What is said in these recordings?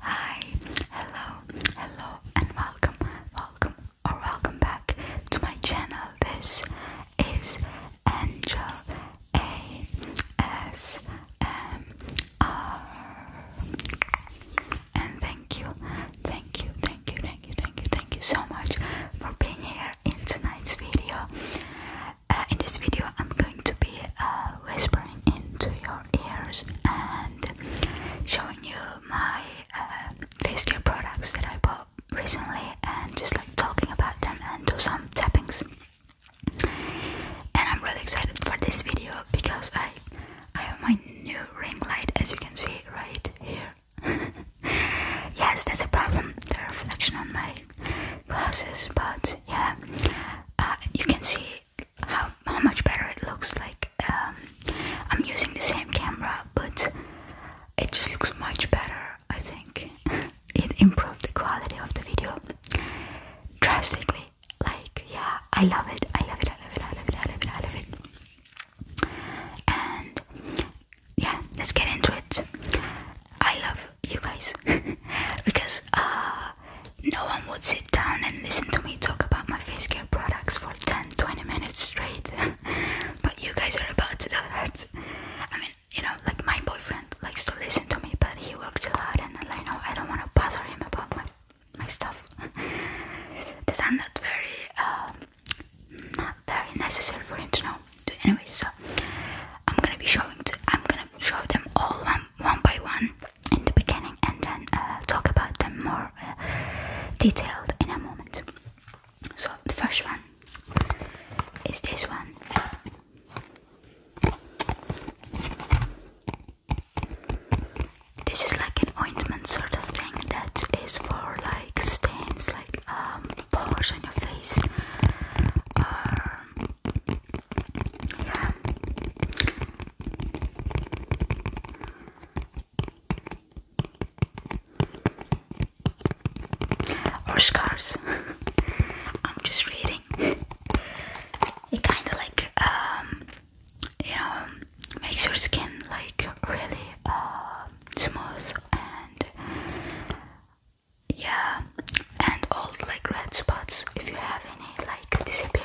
Hi, hello, hello, and welcome, welcome, or welcome back to my channel. This is Angel A S M R, and thank you, thank you, thank you, thank you, thank you, thank you so much for being here in tonight's video. Uh, in this video, I'm going to be uh, whispering into your ears and showing you my uh, face care products that I bought recently and just like talking about them and do some tappings. And I'm really excited for this video because I I have my new ring light as you can see right here. yes, that's a problem, the reflection on my glasses, but yeah, you can see how, how much better it looks like um, I'm using the same camera but it just looks much better I think it improved the quality of the video drastically like yeah I love it I love it I love it I love it I love it I love it and yeah let's get into it I love you guys because uh, no one would sit down and listen to me talk about my face care products for 10 20 minutes straight. but you guys are about to do that. I mean, you know, like my boyfriend likes to listen to me, but he works a lot, and I know I don't want to bother him about my my stuff. These are not very, um, not very necessary for him to know. Anyway, so I'm gonna be showing. To, I'm gonna show them all one, one by one, in the beginning and then uh, talk about them more uh, detailed in a moment. So the first one is this one. This is like an ointment sort of thing that is for like stains like um, pores on your face or scars. I'm just reading. It kind of like um, you know makes your skin like really uh, smooth and yeah, and all like red spots if you have any like disappear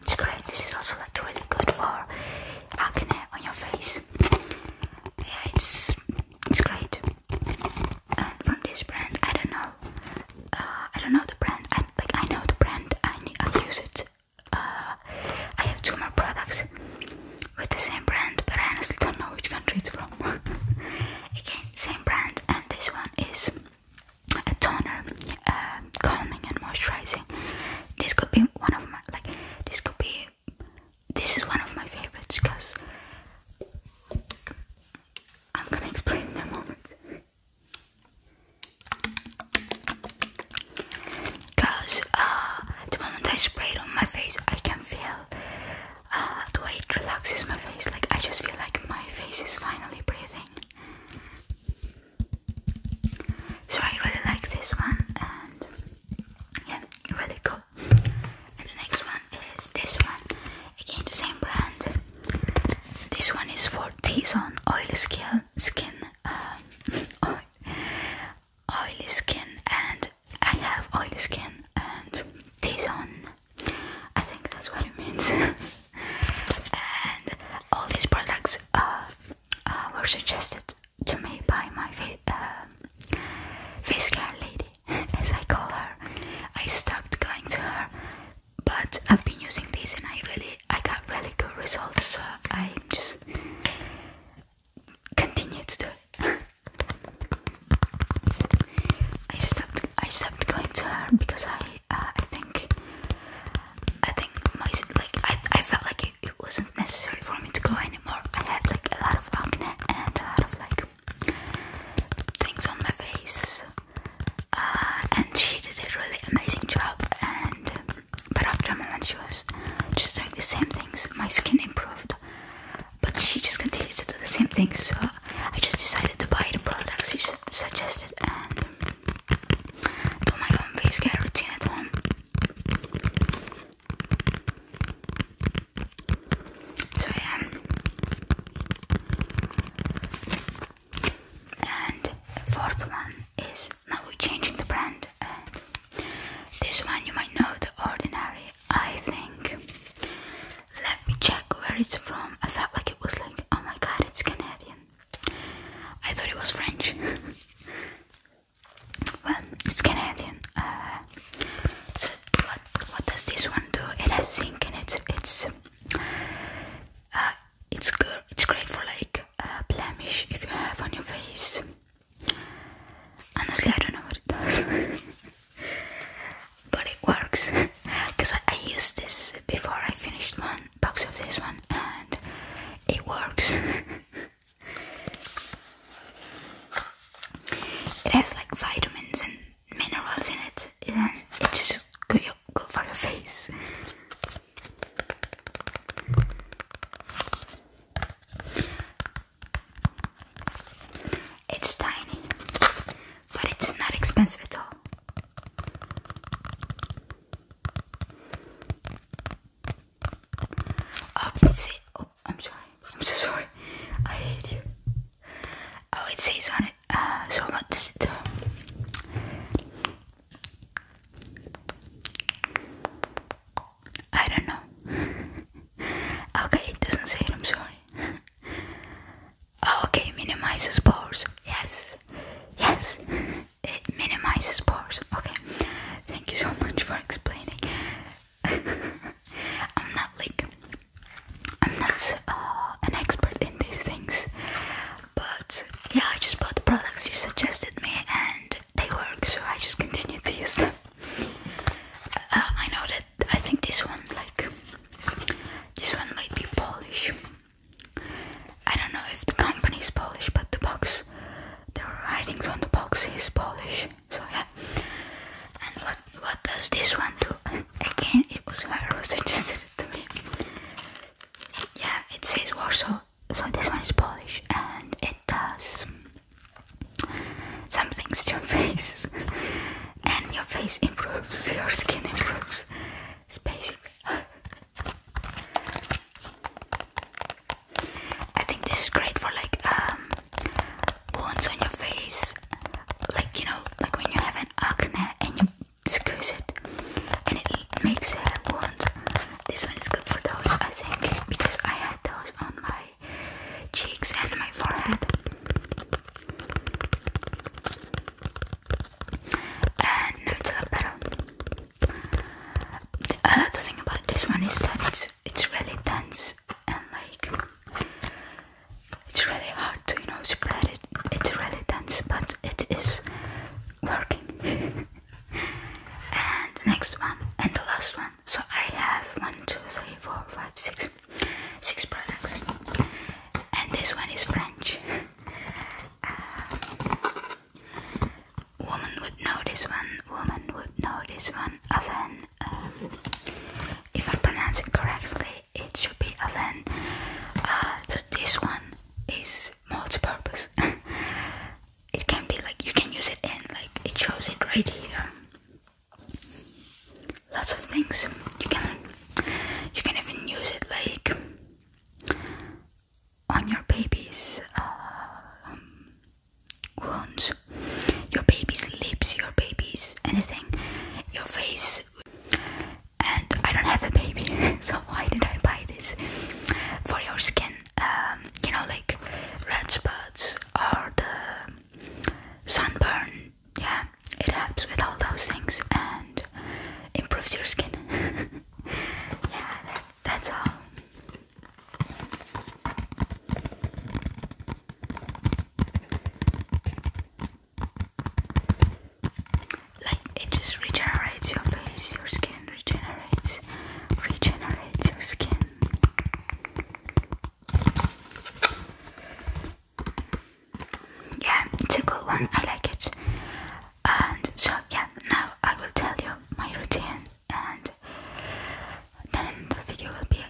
it's great. This is also like really good for acne on your face. Yeah, it's it's great. And from this brand, I don't know. Uh, I don't know the brand. I like I know the brand. I I use it. Uh, I have two more products with the same brand, but I honestly don't know which country it's from. Again, same brand, and this one is a toner, um, calming and moisturizing. This could be one of my like. This could be. This is one of my favorites because I'm gonna explain in a moment. Because uh, the moment I spray it on my face, I can feel uh, the way it relaxes my face. Like I just feel like my face is finally breathing. So I really like this one and yeah, really cool. And the next one is this one. Again the same brand. This one is for T-zone oily skin skin um, oily skin and I have oily skin and T-zone I think that's what it means. and all these products uh, were suggested to me by my um, face care lady, as I call her. I stopped going to her, but I've been using these and I really, I got really good results. So I just continue to do it. I stopped, I stopped going to her because I uh, I think I think my like I I felt like it, wasn't necessary for me to go anymore. I had like a lot of acne and a lot of like things on my face. Uh, and she did a really amazing job and but after a moment she was just doing the same things my skin improved but she just continued to do the same things so I just decided to buy the products you suggested and do my own face care routine at home. So yeah, and the fourth one is now we're changing the brand, this one you might know, The Ordinary. I think let me check where it's from. I felt like it was like, oh my god, it's Canadian. I thought it was French. well, it's Canadian. Uh, what what does this one do? It has zinc and it's it's uh, it's good. It's great for like uh, blemish if you have on your face. Honestly, I don't know what it does. but it works because I, used this before I finished one box of this one and it works. it has like vitamins and minerals in it, and it's just good for your face. It's tiny, but it's not expensive at all. Oh, it's it. Oh, I'm sorry. I'm so sorry. I hate you. Oh, it says on it. Uh, so what does it do? I don't know. okay, it doesn't say I'm sorry. Oh, okay, minimizes pores. Yes, yes, it minimizes pores. Okay, thank you so much for explaining. I'm not like I'm not uh, an expert in these things, but yeah, I just bought the products you suggested me, and they work, so I just continued to use them. Uh, I know that I think this one, like this one, might be Polish. I don't know if the company is Polish, but the box, the writings on the box is Polish. So yeah. And what what does this one do? Again, it was my whoever who suggested it to me. Yeah, it says Warsaw. So this one is Polish, and it does some things to your face, and your face improves, your skin improves spaceship. I think this is great for like um, wounds on your face, like you know, like when you have an acne and you squeeze it, and it makes a wound. This one is good for those, I think, because I had those on my cheeks and my forehead and no, it's a lot better. Uh, the thing about this one is that it's it's really dense and like it's really hard to you know spread it. It's really dense, but it is working. and next one and the last one. So I have one, two, three, four, five, six, six products, and this one is French. Uh, woman would know this one, woman would know this one, oven. Um, if I pronounce it correctly, it should be oven. Uh, so this one is multi-purpose. it can be like, you can use it in, like it shows it right here. Lots of things you can you can even use it like on your baby's um, wounds, your baby's lips, your baby's anything, your face. And I don't have a baby, so why did I buy this? For your skin, um, you know, like red spots or the sunburn, yeah, it helps with all those things and improves your skin. yeah, that's all. Like it just regenerates your face, your skin regenerates, regenerates your skin yeah, it's a good one. I like it. And so yeah, now I will tell you my routine, and then the video will be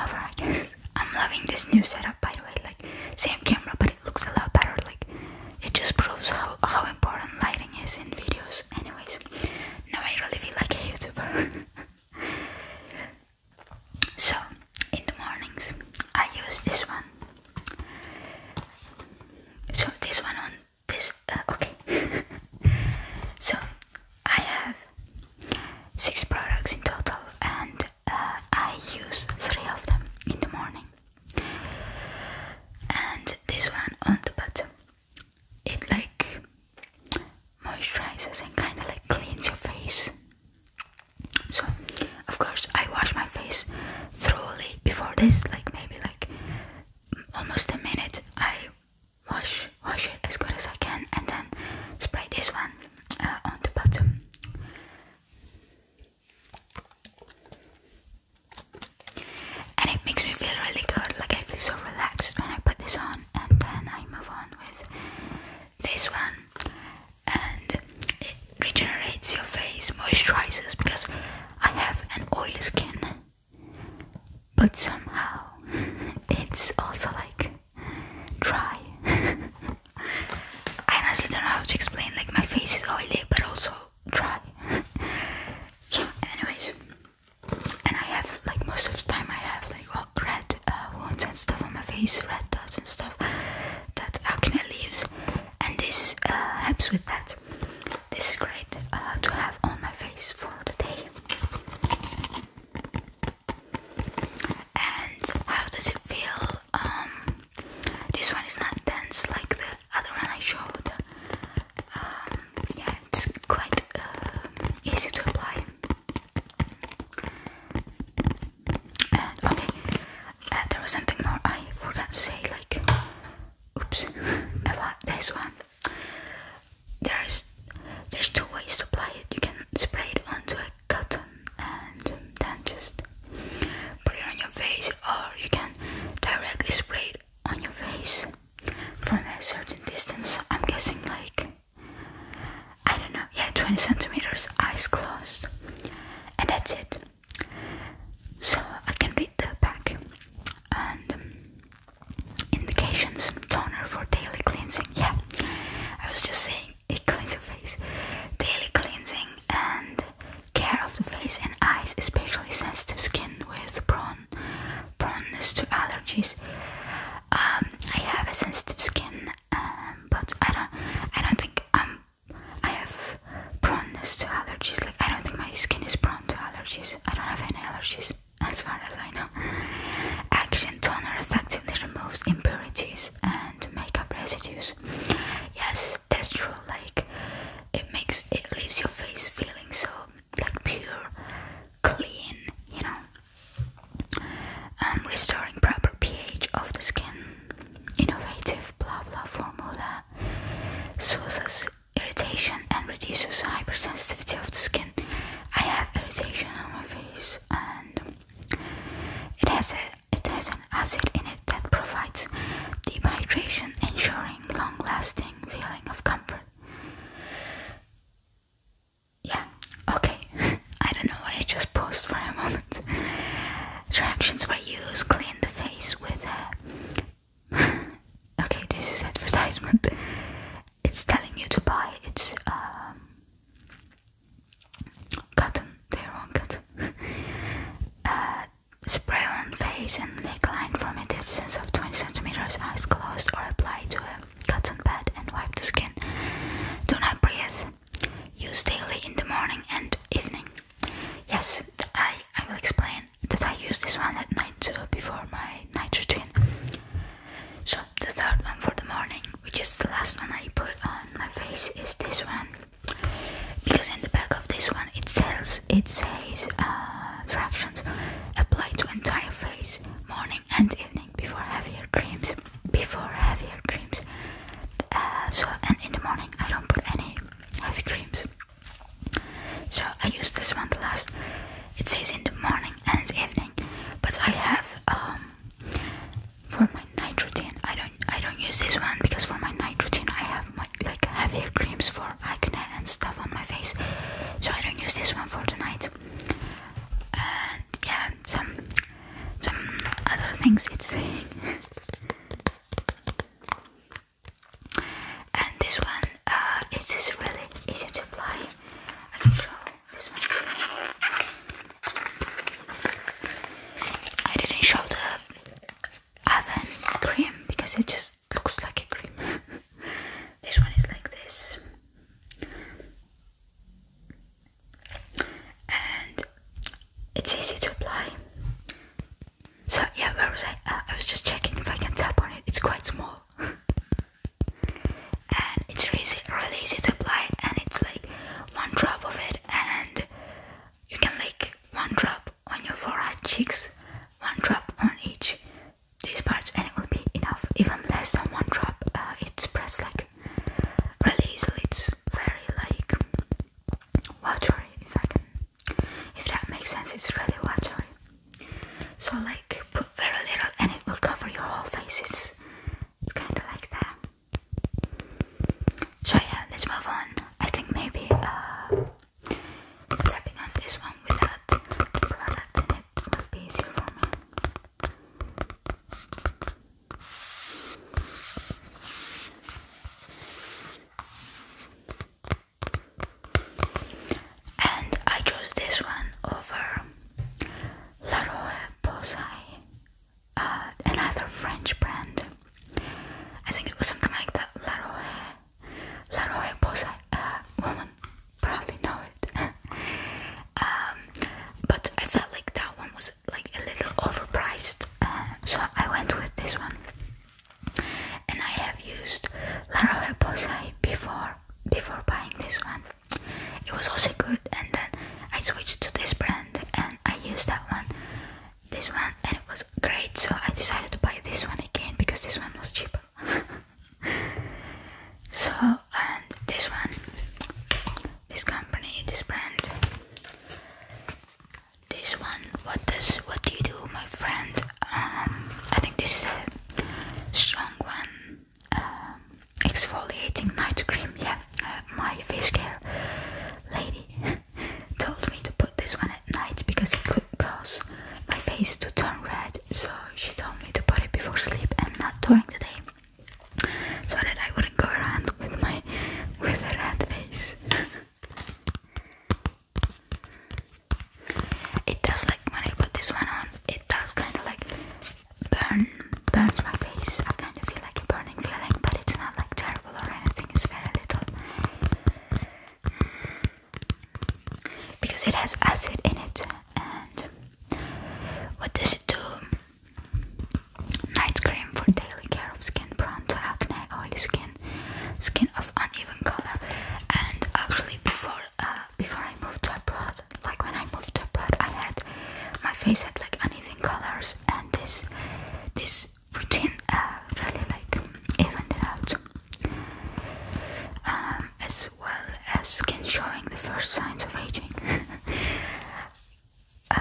over. I guess I'm loving this new setup. By the way, like same camera, but it looks a lot better. Like it just proves how how important lighting is in videos. Anyways, now I really feel like a YouTuber. so in the mornings I use this one so this one on this uh, okay so I have six products in total and uh, I use three of them in the morning and this one on the bottom it like moisturizes and kind of like cleans your face so, of course, I wash my face thoroughly before this, like maybe like almost a minute. I wash wash it as good as I can, and then spray this one uh, on the bottom. And it makes me feel really good, like I feel so relaxed when I put this on, and then I move on with this one and it regenerates your face, moisturizes because I have an oily skin, but somehow it's also like dry. I honestly don't know how to explain. Like my face is oily, but also dry. yeah, anyways, and I have like most of the time I have like well, red uh, wounds and stuff on my face, red dots and stuff that acne leaves and this uh, helps with that. This is great uh, to have on my face for the day. And how does it feel? Um, this one is not dense like the other one I showed. Um, yeah, it's quite uh, easy to apply okay, there was something more I forgot to say. Like, oops, about this one. There's there's two ways to apply it. You can spray it onto a cotton and then just put it on your face, or you can directly spray it on your face from a certain distance. I'm guessing like. I don't know, yeah, 20 centimeters, eyes closed, and that's it so I can read the pack and um, indications toner for daily cleansing. Yeah, I was just saying it cleans your face. Daily cleansing and care of the face and eyes, especially sensitive skin with prone proneness to allergies. Um, I have a sensitive skin, um, but I don't. I don't think I'm I have proneness to allergies. Like I don't think my skin is prone to allergies. I don't have any allergies as far as I know. Action toner effectively removes impurities and makeup residues. Yes, that's true. Like it makes it leaves your face feeling so like pure, clean, you know. Um, restoring proper pH of the skin innovative blah blah formula soothes irritation and reduces hypersensitivity of the skin. I have irritation on my face, and it has a it has an acid in it that provides deep hydration, ensuring long-lasting feeling of comfort. Yeah, okay. I don't know I just paused for a moment. Attractions for use: clean the face with a... okay, this is advertisement. It's telling you to buy it's um, cotton, they're cotton. Uh, spray on face and neckline from a distance of 20 centimeters, eyes closed, or apply to a cotton pad and wipe the skin. Do not breathe Use daily in the morning and evening. Yes, I, I will explain that I use this one at night too before my night routine. So, the third one for the morning, which is the last one I put on my face, is this one. Because in the back of this one it says, it says uh, fractions directions apply to entire face, morning and evening, before heavier creams. Before heavier creams. Uh, so, and in the morning I don't put any heavy creams. So I use this one the last. It says in the morning and evening, but I have um for my night routine. I don't I don't use this one because for my night routine I have my like heavier creams for acne and stuff on my face. So I don't use this one for the night. And yeah, some some other things it's saying. and this one uh, it is really easy to apply I didn't show the oven cream because it just looks like a cream this one is like this it's easy to apply. So yeah, where was I? Uh, I was just checking if I can tap on it. It's quite small, and it's really, really easy to apply. And it's like one drop of it, and you can like one drop on your forehead, cheeks, one drop on each these parts, and it will be enough. Even less than one drop, uh, it's pressed like really easily. It's very like watery if I can if that makes sense it's really watery so like put very little and it will cover your whole face it's, kind of like that so yeah let's move on I think maybe uh, tapping on this one without product in it would be easier for me and I chose this one over La Roche Posay, uh, another French brand. I think it was something like that. La Roche, La Roche Posay. Uh, woman probably know it. Um, but I felt like that one was like a little overpriced, uh, so I went with this one. And I have used La Roche Posay before before buying this one. It was also good, and then I switched to this brand and I used that one, this one, and it was great. So I decided to buy this one again because this one was cheaper. so and this one, this company, this brand, this one what does what do you do my friend um i think this is a strong one um exfoliating night cream yeah uh, my face care lady told me to put this one at night because it could cause my face to turn red so she told me to put it before sleep and not during the day so that I wouldn't go around with my with a red face It does like when I put this one on, it does kind of like burn, burns my face. I kind of feel like a burning feeling, but it's not like terrible or anything. It's very little because it has acid in it. And what does it do? Night cream for daily care of skin prone to acne, oily skin, skin of uneven color. And actually, before uh, before I moved to abroad, like when I moved to abroad, I had my face had like uneven colors, and this this routine uh, really like evened it out. Um, as well as skin showing the first signs of aging. Uh,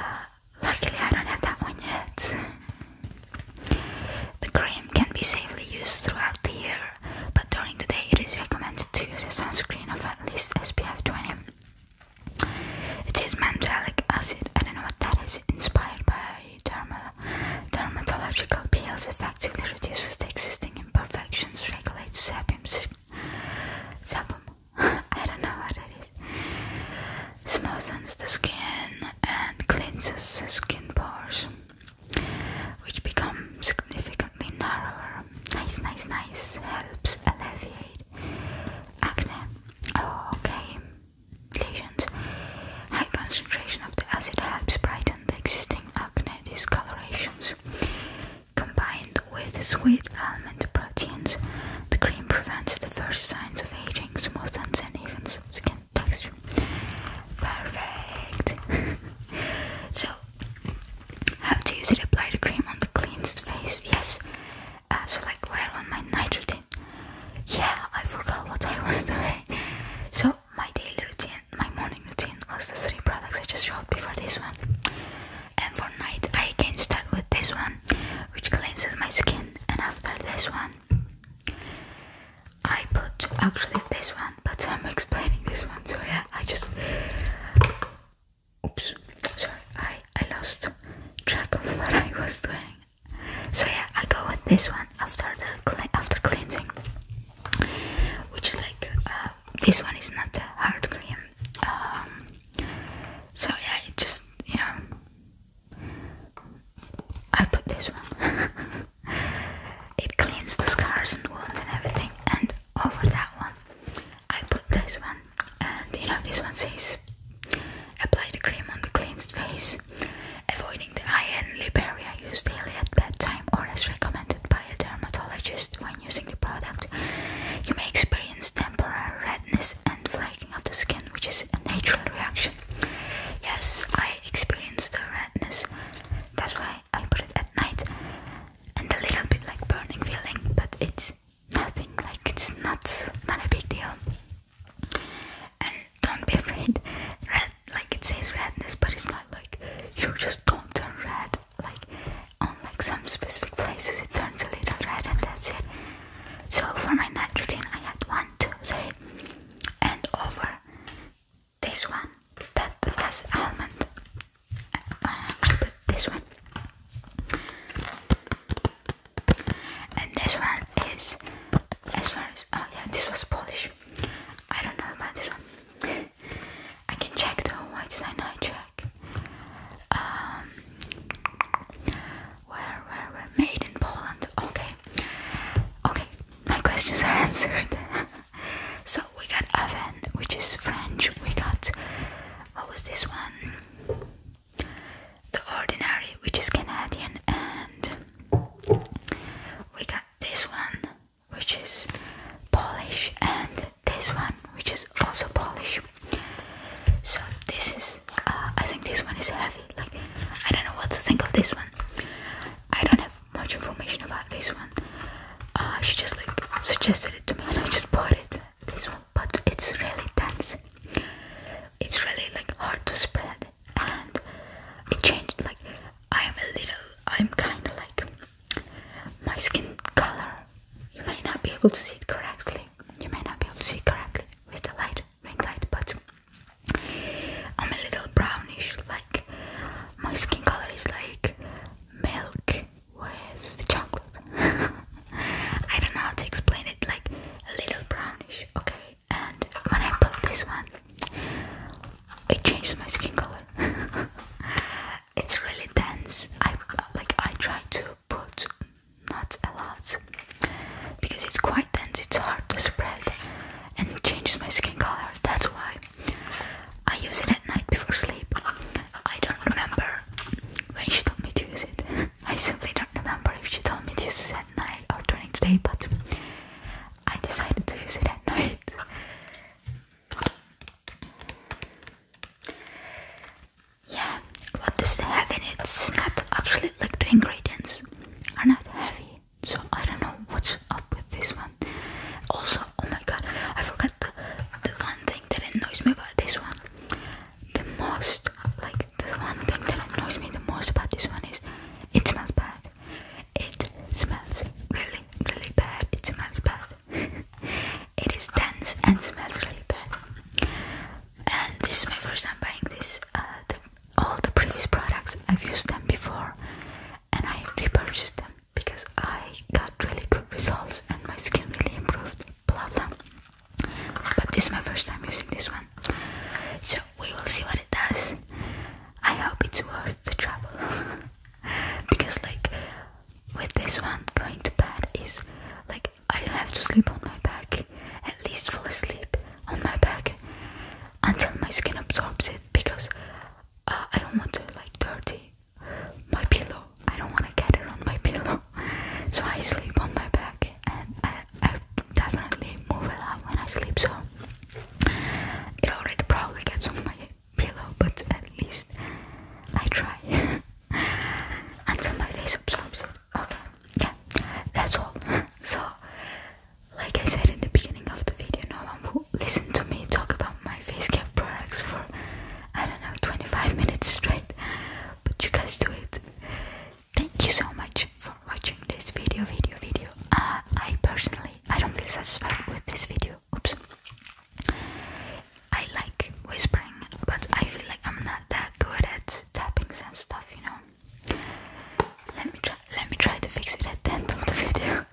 luckily, I don't have that one yet. The cream can be safely used throughout the year, but during the day it is recommended to use a sunscreen of at least SPF 20. It is mandelic acid, I don't know what that is, inspired by dermatological peels, effectively reduces the existing imperfections, regulates sebum. Sebum? I don't know what that is smoothens the skin and cleanses the skin pores, which become significantly narrower. Nice, nice, nice. Helps alleviate acne. okay. Lesions. High concentration of the acid helps brighten the existing acne discolorations. Combined with sweet almond proteins, the cream prevents the the first signs of aging, smoothness and even skin texture. Perfect. so, how to use it? Apply the cream on the cleansed face. Yes. Uh, so, like, wear on my night routine. Yeah, I forgot what I was doing. So, my daily routine, my morning routine was the three products I just showed before this one. And for night, I can start with this one, which cleanses my skin, and after this one, I put actually this one, but I'm explaining this one, so yeah, I just oops, sorry, I, I lost track of what I was doing. So yeah, I go with this one after the cle after cleansing, which is like uh, this one is not a hard cream. Um, so yeah, it just you know I put this one. it cleans the scars and wounds and everything. And over that one, I put this one. And you know, this one says apply the cream on the cleansed face, avoiding the eye and Liberia Use daily at bedtime or as recommended by a dermatologist when using the product. You may experience temporary redness redness and flaking of the skin, which is a natural reaction. Yes, I experienced the redness, that's why I put it at night, and a little bit like burning feeling, but it's nothing like it's not not a big deal. And don't be afraid, red like it says redness, but it's not like you just don't turn red. Like on like some specific places, it turns a little red, and that's it. So for my nitrogen, I had one, two, three, and over this one that was almond. Uh, I put this one, and this one is as far as oh yeah, this was Polish. I don't know about this one. I can check though. Why did I not check? Um, where, where, where? Made in Poland. Okay. Okay, my questions are answered. so we got oven, which is French. We got what was this one? The ordinary, which is Canadian, and we got this one, which is Polish, and this one, which is also Polish. So this is, uh, I think this one is heavy. Like I don't know what to think of this one. I don't have much information about this one. Uh, she just like suggested it to me, and I just bought it. This one, but it's really dense. It's really like hard to spread, and it changed. Like I'm a little, I'm kind of like my skin color. You may not be able to see it correctly. You may not be able to see it correctly with the light, ring light, but I'm a little brownish. Like my skin color is like milk with chocolate. I don't know how to explain it. Like a little brownish, okay. And when I put this one, it changes my skin color. it's really dense. I like. I try to put not a lot because it's quite dense, it's hard to spread and it changes my skin color. That's why I use it at night before sleep. I don't remember when she told me to use it. I simply don't remember if she told me to use it at night or during the day, but I decided to use it at night. Yeah, what does it It's not actually like the ingredients are not heavy, so I don't know what's up with this one. Also, oh my god, I forgot the, the one thing that annoys me about this one. The most, like the one thing that annoys me the most about this one is it smells bad. It smells really, really bad. It smells bad. it is dense and smells really bad. And this is my first time buying this. Uh, all the previous products I've used them before and I repurchased them because I got really good results and my skin really improved blah blah but this is my first time using this one so we will see what it does I hope it's worth the trouble because like with this one going to bed is like I have to sleep on my back at least fall asleep on my back until my skin absorbs it because uh, I don't want to like dirty my pillow. I don't want to get it on my pillow, so I sleep on my back and I definitely move a lot when I sleep. So it already probably gets on my pillow, but at least I try until my face absorbs it okay yeah that's all so like I said in the beginning of the video no one will listen to me talk about my face care products for I don't know 25 minutes straight but you guys do it thank you so much for watching this video video video uh, I personally I don't feel satisfied with this video oops I like whispering but I feel like I'm not that good at tappings and stuff you know let me try let me try to fix it at the end of the video.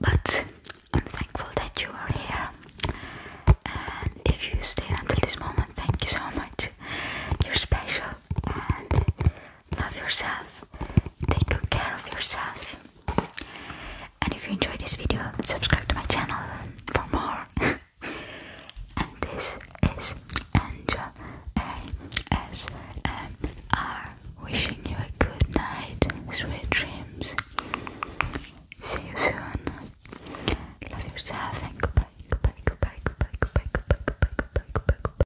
But I'm thankful that you are here, and if you stayed until this moment, thank you so much. You're special, love yourself, take good care of yourself. And if you enjoyed this video, subscribe to my channel for more. and this is Angel ASMR wishing you a good night, sweet dreams. See you soon. Love yourself and goodbye, goodbye, goodbye, goodbye, goodbye, goodbye, goodbye, goodbye, goodbye. goodbye.